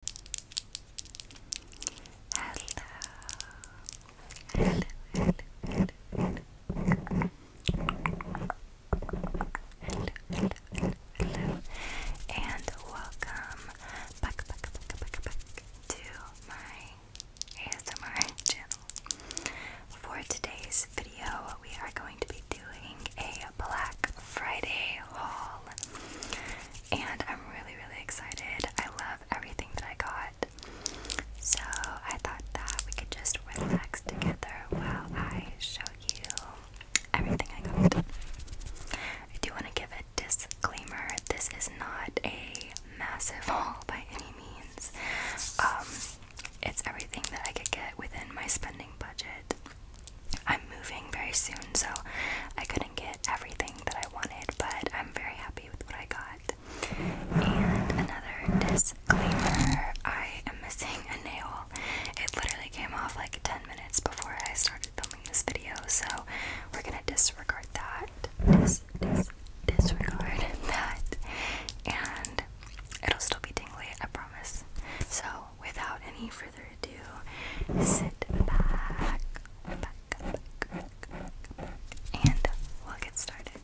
hello, hello, hello, hello. and welcome back, back, back, back, back to my ASMR channel. For today's video, we are going to be doing a Black Friday haul and I'm really, really excited. I love everything that I got. So I thought that we could just relax together while I show you everything I got. I do want to give a disclaimer this is not a massive haul by any means. Um, it's everything that I could get within my spending budget. I'm moving very soon, so I couldn't get everything that I wanted, but I'm very happy with what I got. And another disclaimer I am missing a nail. It literally came off like 10 minutes before I started filming this video, so we're gonna disregard that. Dis disregard that. And it'll still be tingly, I promise. So without any further ado, sit back, and we'll get started.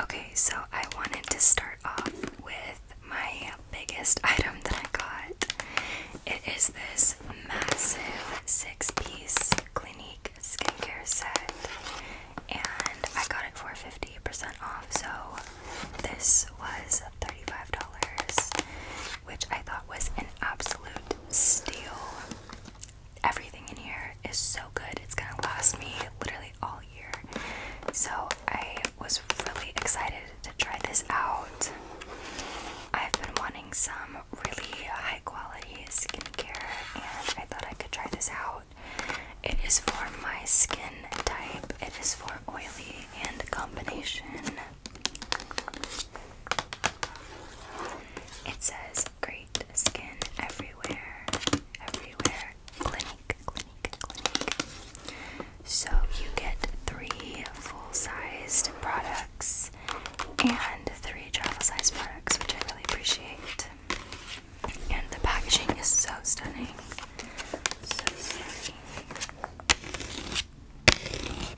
Okay, so I wanted to start off with my biggest item that I got. It is this massive six piece Clinique skincare set, and I got it for 50% off, so this was $35, which I thought was an absolute steal. Everything in here is so good. It's gonna last me literally all year. So I was really excited to try this out. I've been wanting some really high quality skincare and I thought I could try this out. It is for my skin type, it is for oily and combination. It says great skin everywhere, everywhere. Clinic, clinic, clinic. So you get three full-sized products and three travel-sized products, which I really appreciate. And the packaging is so stunning. So stunning. The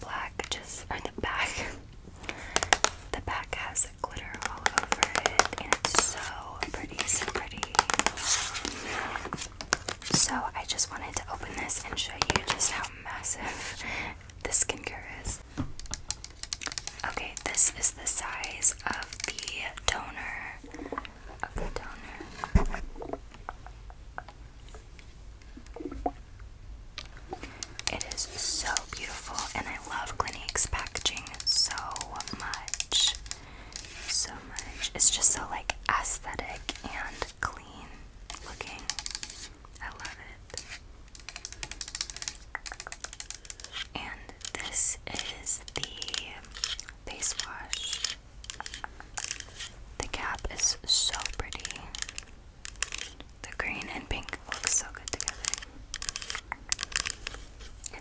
black just, or uh, the back, the back has glitter all over it, and it's so pretty, so pretty. So I just wanted to open this and show you just how massive this skincare is. Okay, this is the size of the toner. Of the toner. It is so beautiful, and I love Clinique's packaging so much. So much. It's just so like aesthetic and clean looking. I love it. And this is the face wash. The cap is so pretty. The green and pink look so good together.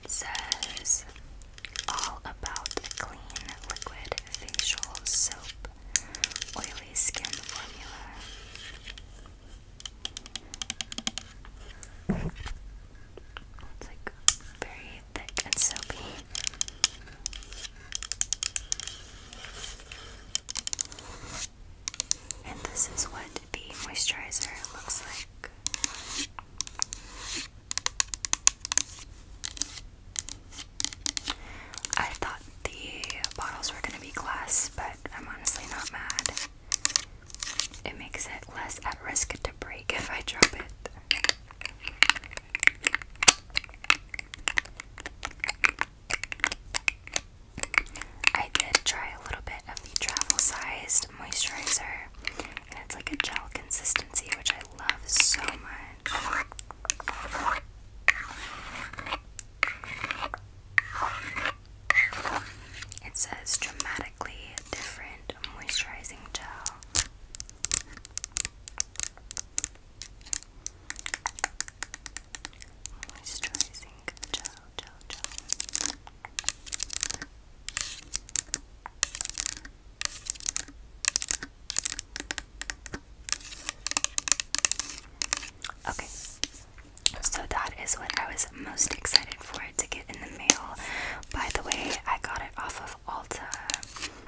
It says all about clean liquid facial soap oily skin formula. It's like very thick and soapy. And this is what the moisturizer looks like. I thought the bottles were going to be glass, but I'm honestly not mad. It makes it less at risk to break if I drop it. I did try a little bit of the travel sized moisturizer, and it's like a gel consistency, which I love so much. It says dramatically different moisturizing gel. Moisturizing gel, gel, gel. Okay, so that is what I was most excited for to get in the mail. By the way, I got it off of Ulta.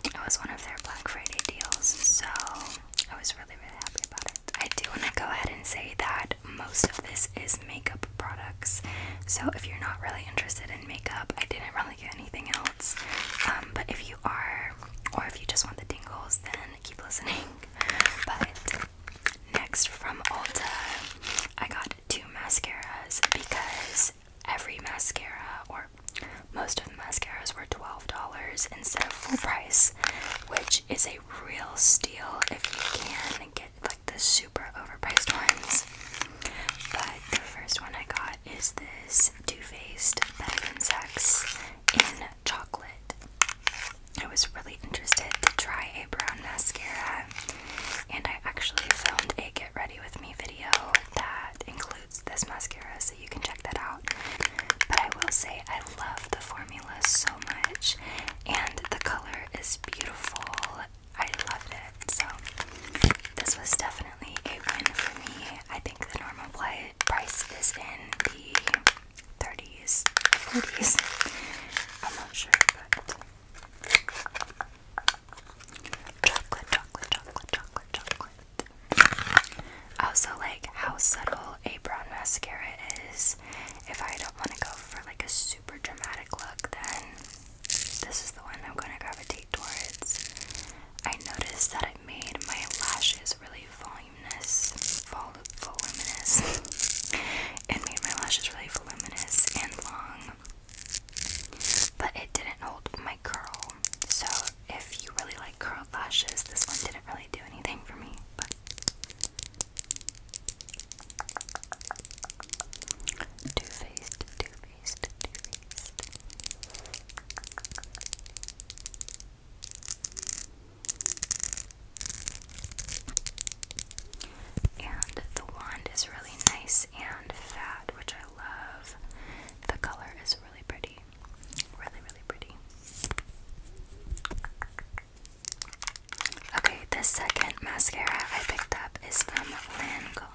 It was one of their Black Friday deals, so I was really, really happy about it. I do want to go ahead and say that most of this is makeup products, so if you're not really interested in makeup, I didn't really get anything else. Um, but if you are, or if you just want the tingles, then keep listening. But next from Ulta, I got two mascaras because every mascara, or most of the mascaras, were $12 instead of full price, which is a real steal if you can get like the super overpriced ones. But the first one I got is this is Too Faced Better Than Sex in Chocolate. I was really interested to try a brown mascara, and I actually filmed a Get Ready With Me video that includes this mascara, so you can check that out. But I will say, I love the formula so much, and the color is beautiful. I love it. So this was definitely a win for me. I think the normal play price is in the 30s, 40s. I'm not sure, but chocolate, chocolate, chocolate, chocolate, chocolate. Also, like how subtle a brown mascara is. If I don't want to go for like a super dramatic look, then this is the one I'm going to gravitate towards. I noticed that it made my lashes really voluminous, vol voluminous. it made my lashes really voluminous and long, but it didn't hold my curl. So if you really like curled lashes, this one didn't really do anything for me. But Two-faced, 2 rest, And the wand is really nice and fat, which I love. The color is really pretty. Really, really pretty. Okay, the second mascara I picked up is from Lancome.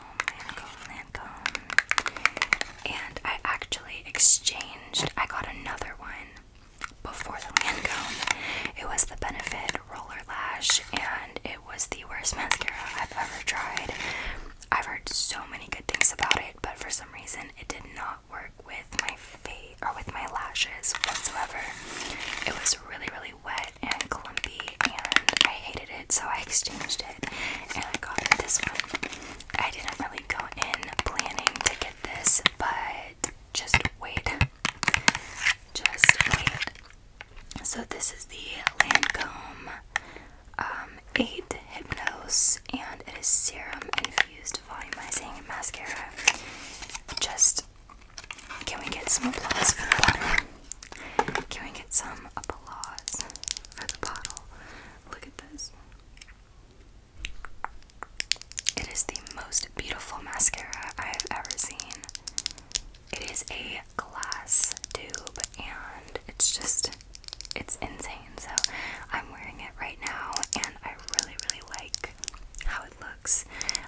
And I actually exchanged, I got another one before the Lancome. It was the Benefit Roller Lash, and it was the worst mascara I've ever tried. I've heard so many good things about it, but for some reason it did not work with my face or with my lashes whatsoever. It was really, really wet and clumpy and I hated it, so I exchanged it and I got this one. I didn't really go in planning to get this, but just wait. Just wait. So, this is the Lancome um, 8 Hypnose, and it is serum infused volumizing mascara. Just, can we get some applause for that one? Can we get some applause for the bottle? Look at this. It is the most beautiful mascara I have ever seen. It is a glass tube and it's just it's insane. So I'm wearing it right now and I really really like how it looks.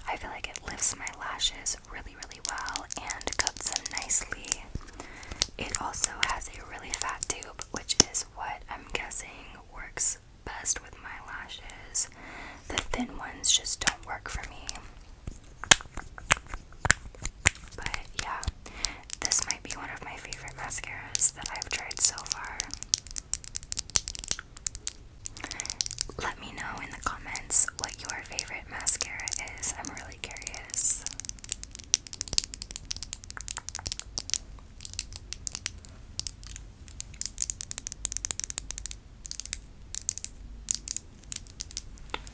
I feel like it lifts my lashes really really well and cups them nicely. It also has a really fat tube, which is what I'm guessing works best with my lashes. The thin ones just don't work for me. But yeah, this might be one of my favorite mascaras that I've tried so far. Let me know in the comments what your favorite mascara is. I'm really curious.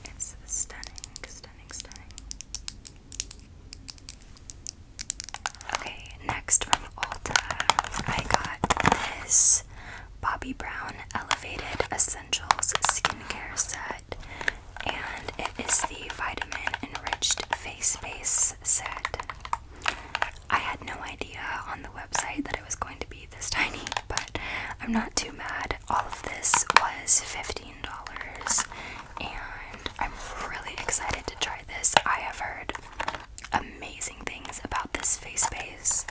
It's stunning, stunning, stunning. Okay, next from Ulta, I got this Bobbi Brown Elevated Essentials Skincare Set and it is the Vitamin Enriched Face Base set. I had no idea on the website that it was going to be this tiny, but I'm not too mad. All of this was $15, and I'm really excited to try this. I have heard amazing things about this face base,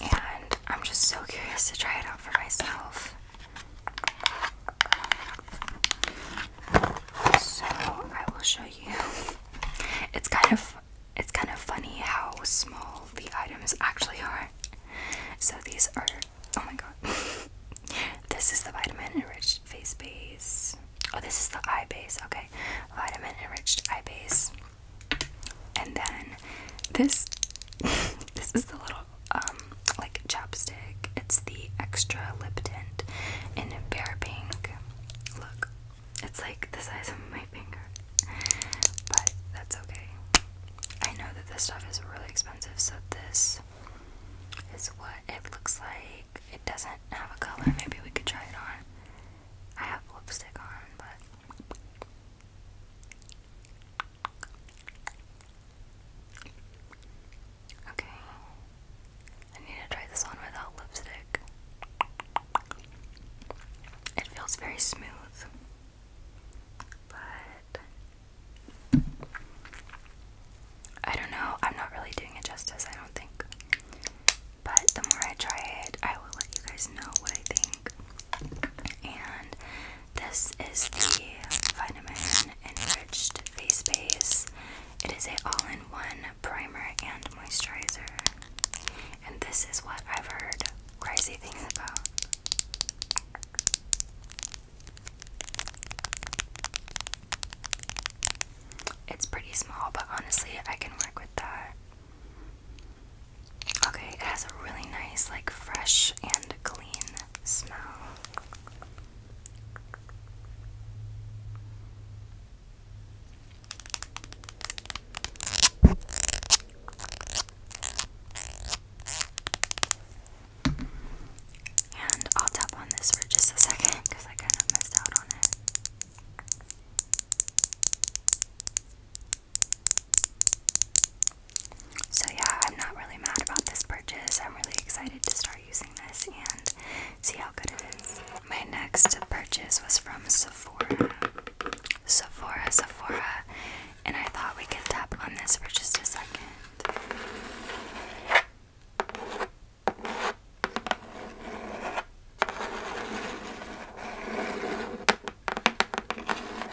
and I'm just so curious to try it out for myself. So I will show you. It's kind of it's kind of funny how small the items actually are. So these are oh my god. this is the vitamin enriched face base. Oh, this is the eye base. Okay, vitamin enriched eye base. And then this this is the little um, like chapstick. It's the extra lip tint in Bare Pink. Look, it's like the size of my finger, but that's okay. I know that this stuff is really expensive, so this is what it looks like. It doesn't have a color. Maybe we could try it on. I have lipstick on, but Okay. I need to try this on without lipstick. It feels very smooth, but I don't know. I'm not really doing it justice, I don't think. But the more I try it, I will let you guys know what I think. And this is the Vitamin Enriched Face Base. It is a all-in-one primer and moisturizer. And this is what I've heard crazy things about. It's pretty small, but honestly, I can work with that. Okay, it has a really nice, like, fresh and clean smell. And I'll tap on this for just a second because I kind of missed out on it. So, yeah, I'm not really mad about this purchase. I'm really excited to start using this and see how good it is. My next purchase was from Sephora. Sephora, Sephora. And I thought we could tap on this for just a second.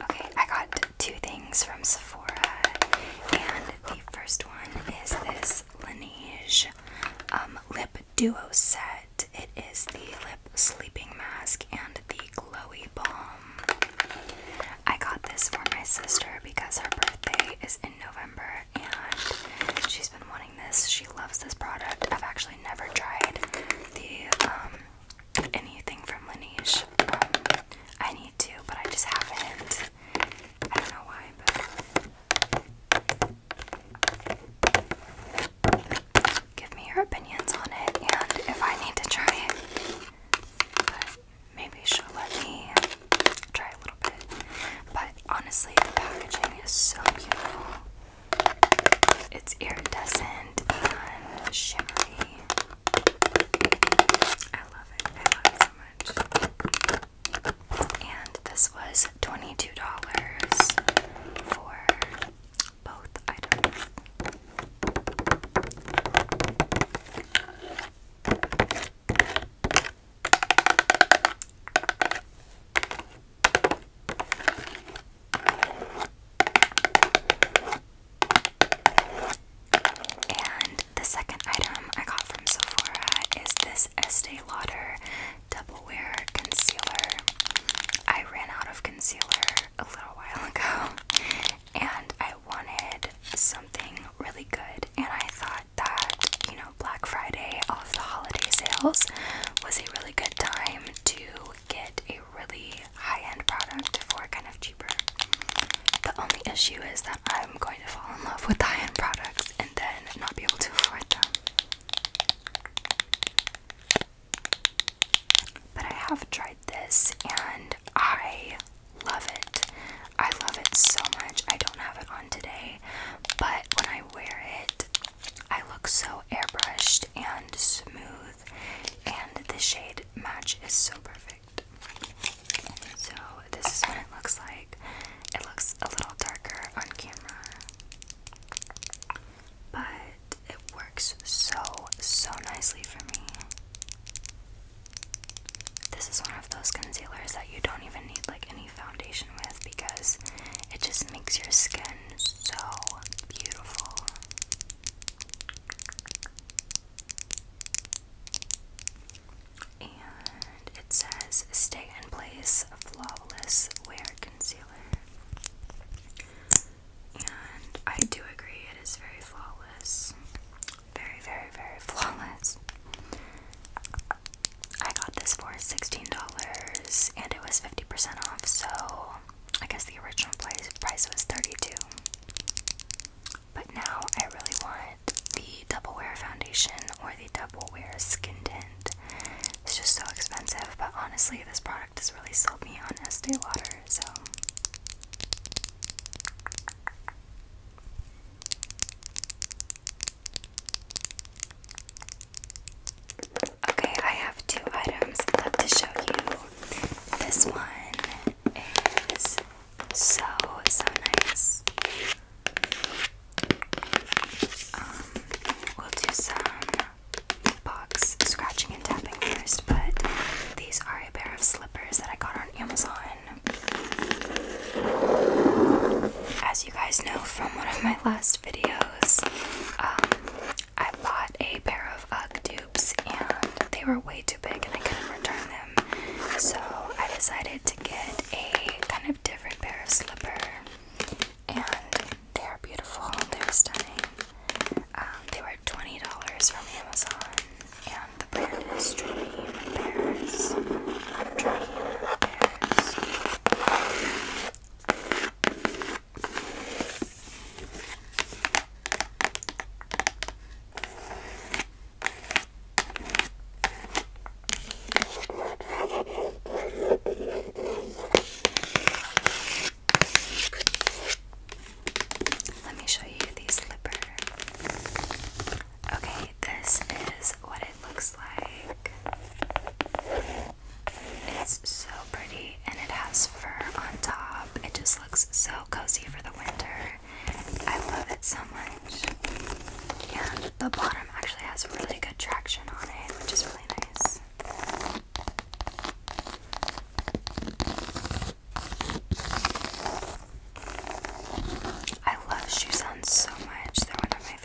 Okay, I got two things from Sephora, and the first one is this Laneige um, Lip Duo Set. It is the lip sleeping mask and the glowy balm. I got this for my sister because her birthday is in November, and she's been wanting this. She loves this product. I've actually never tried the um, anything from Laneige. Um, I need to, but I just haven't. I don't know why, but give me your opinions on it and if I need to try it. maybe she'll let me try a little bit. But honestly, the packaging is so beautiful. It's iridescent and shimmery. I love it. I love it so much. And this was $22 for both items. And the second item I got from Sephora is this Estee Lauder Double Wear Concealer. I ran out of concealer a little while ago and I wanted something really good, and I thought that, you know, Black Friday, of the holiday sales was a really good time to get a really high-end product for kind of cheaper. The only issue is that I'm going to fall in love with high-end products and then not be able to afford them. But I have tried this and I love it. I love it so much. I don't have it on today, but when I wear it, I look so airbrushed and smooth, and the shade match is so perfect. So, this is what it looks like. It looks a little darker on camera, but it works so, so nicely for me. This is one of those concealers that you don't even need like any foundation with because it just makes your skin so beautiful. And it says Stay in Place Flawless Wear Concealer. And I do agree, it is very flawless. Very, very, very flawless. I got this for $16 and it was 50% off, so I guess the original price, price was 32 But now I really want the Double Wear Foundation or the Double Wear Skin Tint. It's just so expensive, but honestly, this product has really sold me on Estee Lauder, so. Okay, I have two items I'd love to show you. This one is so, so nice. Um, we'll do some box scratching and tapping first, but these are a pair of slippers that I got on Amazon. As you guys know from one of my last videos, um, I bought a pair of UGG dupes and they were way too big and I couldn't return them. So I decided to get a kind of different pair of slipper and they are beautiful, they're um, they were $20 from Amazon and the brand is Dream Bears. Dream Bears. Let me show you these slipper. Okay, this is what it looks like. It's so pretty and it has fur on top. It just looks so cozy for the winter. I love it so much. And the bottom actually has really good traction on it, which is really nice. I love shoe so much. They're one of my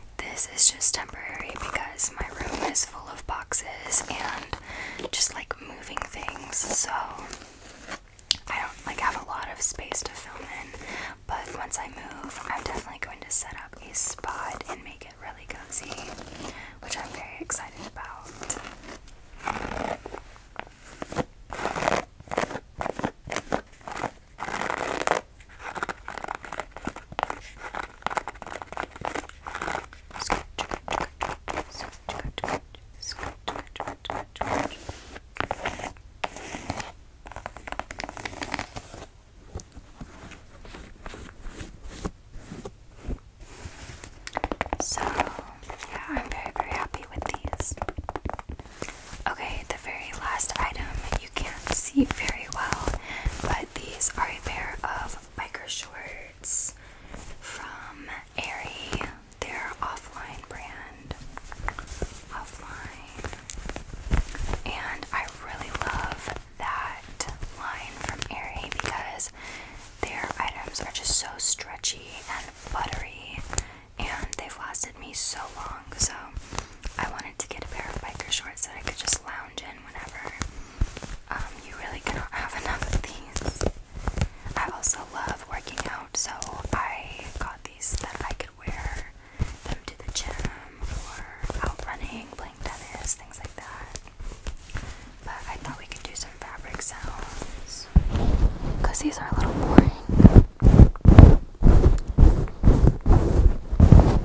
This is just temporary because my room is full of boxes and just like moving things, so I don't like have a lot of space to film in. But once I move, I'm definitely going to set up a spot and make it really cozy, which I'm very excited about. So, yeah, I'm very, very happy with these. Okay, the very last item you can't see very well, but these are a pair of biker shorts from Aerie, their offline brand. Offline. And I really love that line from Aerie because their items are just so stretchy and buttery and they've lasted me so long so I wanted to get a pair of biker shorts that I could just lounge in and um, you really cannot have enough of these. I also love working out, so I got these that I could wear them to the gym or out running, playing tennis, things like that. But I thought we could do some fabric sounds because these are a little boring.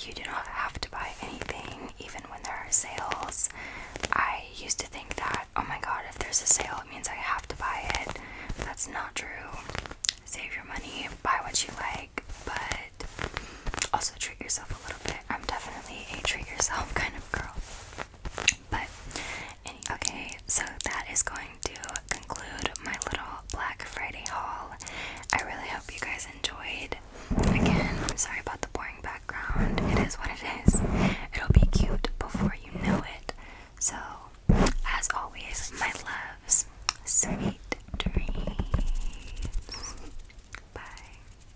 You do not have to buy anything, even when there are sales. I used to think that, oh my god, if there's a sale, it means I have to buy it. That's not true. Save your money, buy what you like, but also treat yourself a little bit. I'm definitely a treat yourself kind of girl. But okay, so that is going to conclude my little Black Friday haul. I really hope you guys enjoyed. Again, sorry about the boring background. It is what it is. It'll be cute before you know it. So, as always, my loves, sweet dreams. Bye.